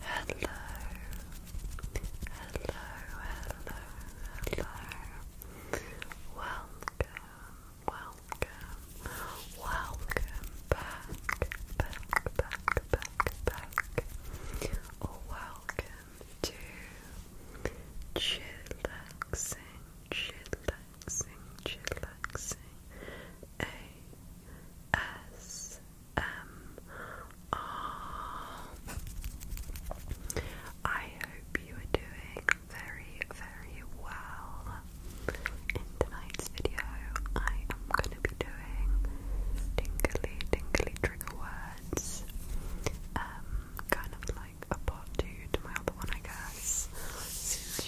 Hello, hello, hello, hello. Welcome, welcome, welcome back, back, back, back, back. welcome to chillaxing, chillaxing, chillaxing, ASMR. hope you are doing very, very well. In tonight's video, I am going to be doing tingly, tingly trigger words. Um, kind of like a part two to my other one, I guess.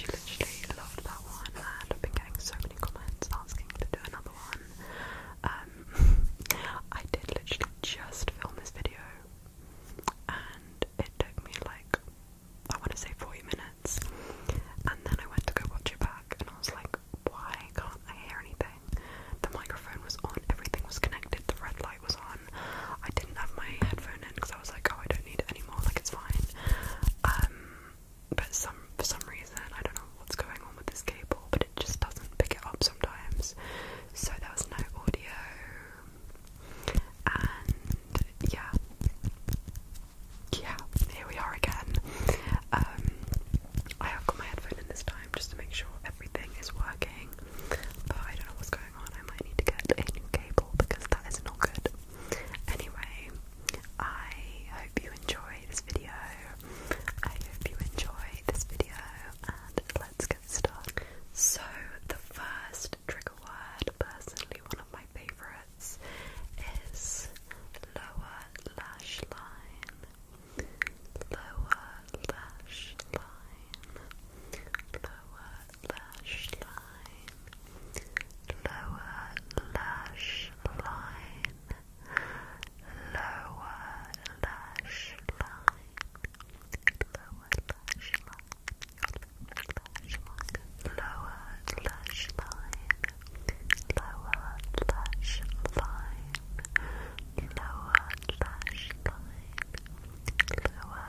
you literally loved that one, and I've been getting so many comments asking to do another one. Um, I did literally just film this video, and it took me like I want to say 40 minutes, and then I went to go watch it back, and I was like, why can't I hear anything? The microphone was on, everything was connected, the red light was on. I didn't have my headphone in I was like, oh, I don't need anymore. Like it's fine. Um, but some for some reason I don't know what's going on with this cable, but it just doesn't pick it up sometimes. So there was no audio, and yeah, yeah, here we are again. Um, I have got my headphone in this time just to make sure everything is working, but I don't know what's going on. I might need to get a new cable because that is not good. Anyway, I hope you enjoy this video. I hope you enjoy this video, and let's get started. So, the first trigger word, personally one of my favourites, is lower lash line. Lower lash line. Lower lash line, lower lash line, lower lash line, lower lash line, lower lash line, lower lash line, lower lash line, lower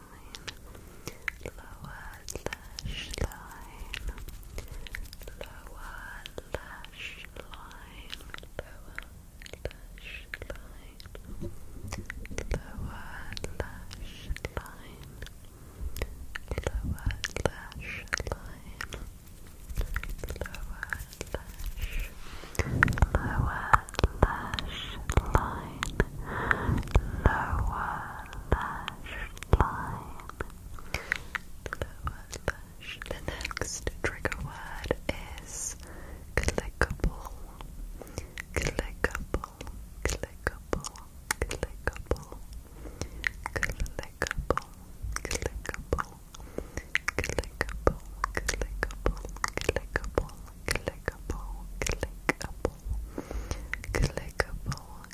lower lash line, lower lash line, lower lash line, lower lash line, lower lash line, lower lash, lower lash line, lower lash line, lower lash. The next trigger word is clickable, clickable, clickable, clickable, clickable, clickable. Clickable, clickable, clickable, clickable, clickable, clickable,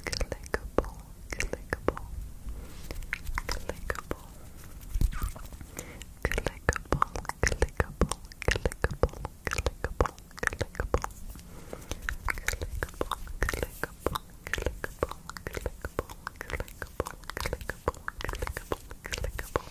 clickable, clickable, clickable, clickable, clickable, clickable, clickable, clickable, clickable, clickable, clickable, clickable, clickable, clickable, clickable, clickable,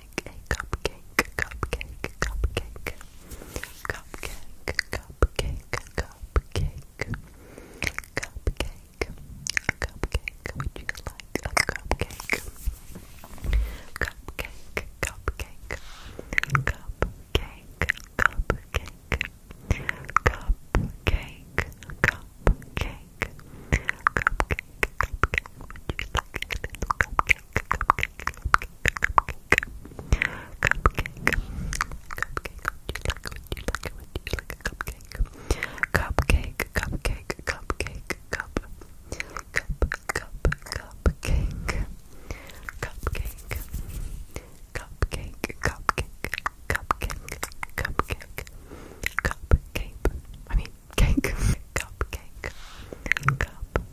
like a cupcake, cupcake, cupcake, cupcake, cupcake, cupcake, cupcake, cupcake. Would you like a cupcake? Cupcake, cupcake, cupcake, cupcake. Cupcake, cupcake, cupcake, cupcake. Would you like a little cupcake, cupcake, Cupcake. Cupcake. Would you like, would you like, would you like a cupcake? Cupcake, cupcake, cupcake, cup. Cup, cup, cupcake. Cupcake. Cupcake, cupcake, cupcake, cupcake. Cupcake. I mean, cake. Cupcake. Cup.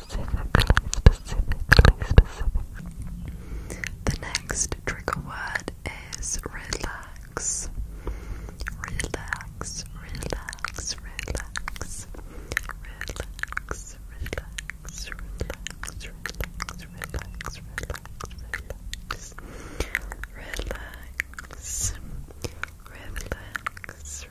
the next trigger word is Relax, relax, relax. Relax, relax, relax, relax, relax, relax, relax. Relax. Relax, relax,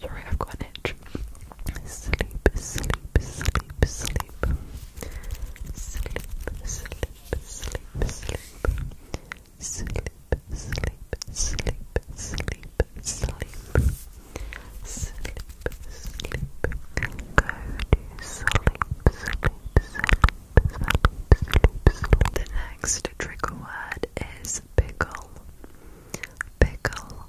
Sorry, I've got an itch. Sleep, sleep, sleep, sleep. Sleep, sleep, sleep, sleep. Sleep, sleep, sleep, sleep, sleep. Sleep, sleep. Go to sleep, sleep, sleep, sleep, sleep. The next trigger word is pickle. Pickle,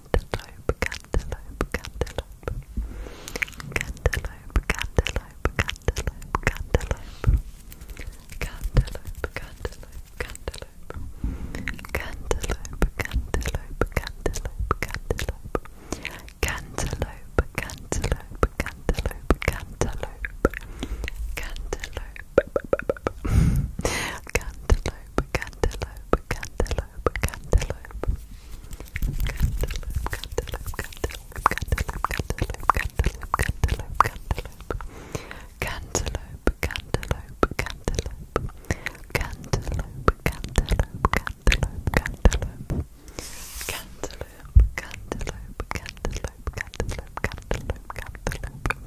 cantaloupe, cantaloupe, cantaloupe, cantaloupe, cantaloupe, cantaloupe, cantaloupe. Cantaloupe, cantaloupe, cantaloupe, cantaloupe, cantaloupe, cantaloupe, cantaloupe, cantaloupe, cantaloupe, cantaloupe, cantaloupe, cantaloupe, cantaloupe, cantaloupe, cantaloupe, cantaloupe, cantaloupe, cantaloupe, cantaloupe, cantaloupe, cantaloupe, cantaloupe, cantaloupe, cantaloupe, cantaloupe, cantaloupe, cantaloupe, cantaloupe, cantaloupe, cantaloupe, cantaloupe, cantaloupe. Cantaloupe, cantaloupe, cantaloupe, cantaloupe, cantaloupe, cantaloupe,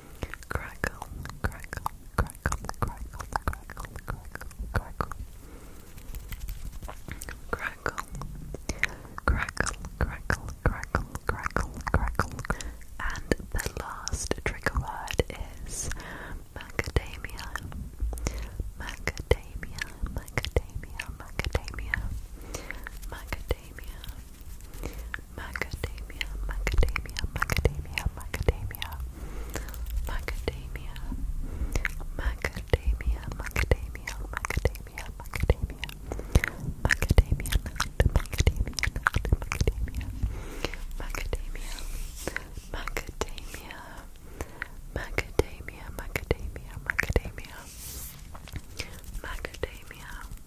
Crackle, crackle, crackle, crackle, crackle, crackle, crackle. Crackle, crackle, crackle, crackle, crackle, crackle. And the last trigger word is macadamia. Macadamia, macadamia, macadamia, macadamia, macadamia, macadamia, macadamia, macadamia, macadamia, macadamia, macadamia, macadamia, macadamia, macadamia nut, macadamia nut, macadamia, macadamia, macadamia, macadamia, macadamia, macadamia, macadamia.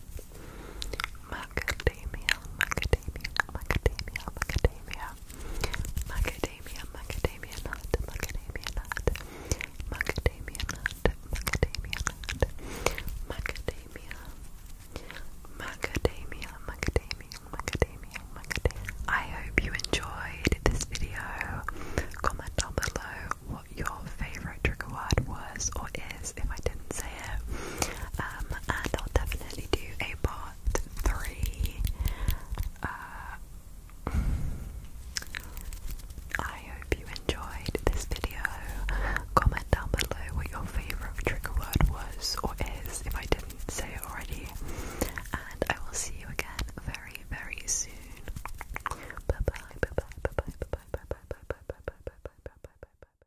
Macadamia, macadamia, macadamia, macadamia. Macadamia, macadamia nut, macadamia nut. Macadamia nut, macadamia nut. Macadamia. Macadamia, macadamia, macadamia, macadamia. I hope you enjoyed this video. Comment down below what your favorite trigger word was or is if I didn't say it. and I'll definitely do a part three. I hope you enjoyed this video. Comment down below what your favourite trigger word was or is if I didn't say it already. And I will see you again very, very soon. bye, bye bye, bye bye, bye bye, bye bye, bye bye, bye bye, bye bye, bye bye, bye bye.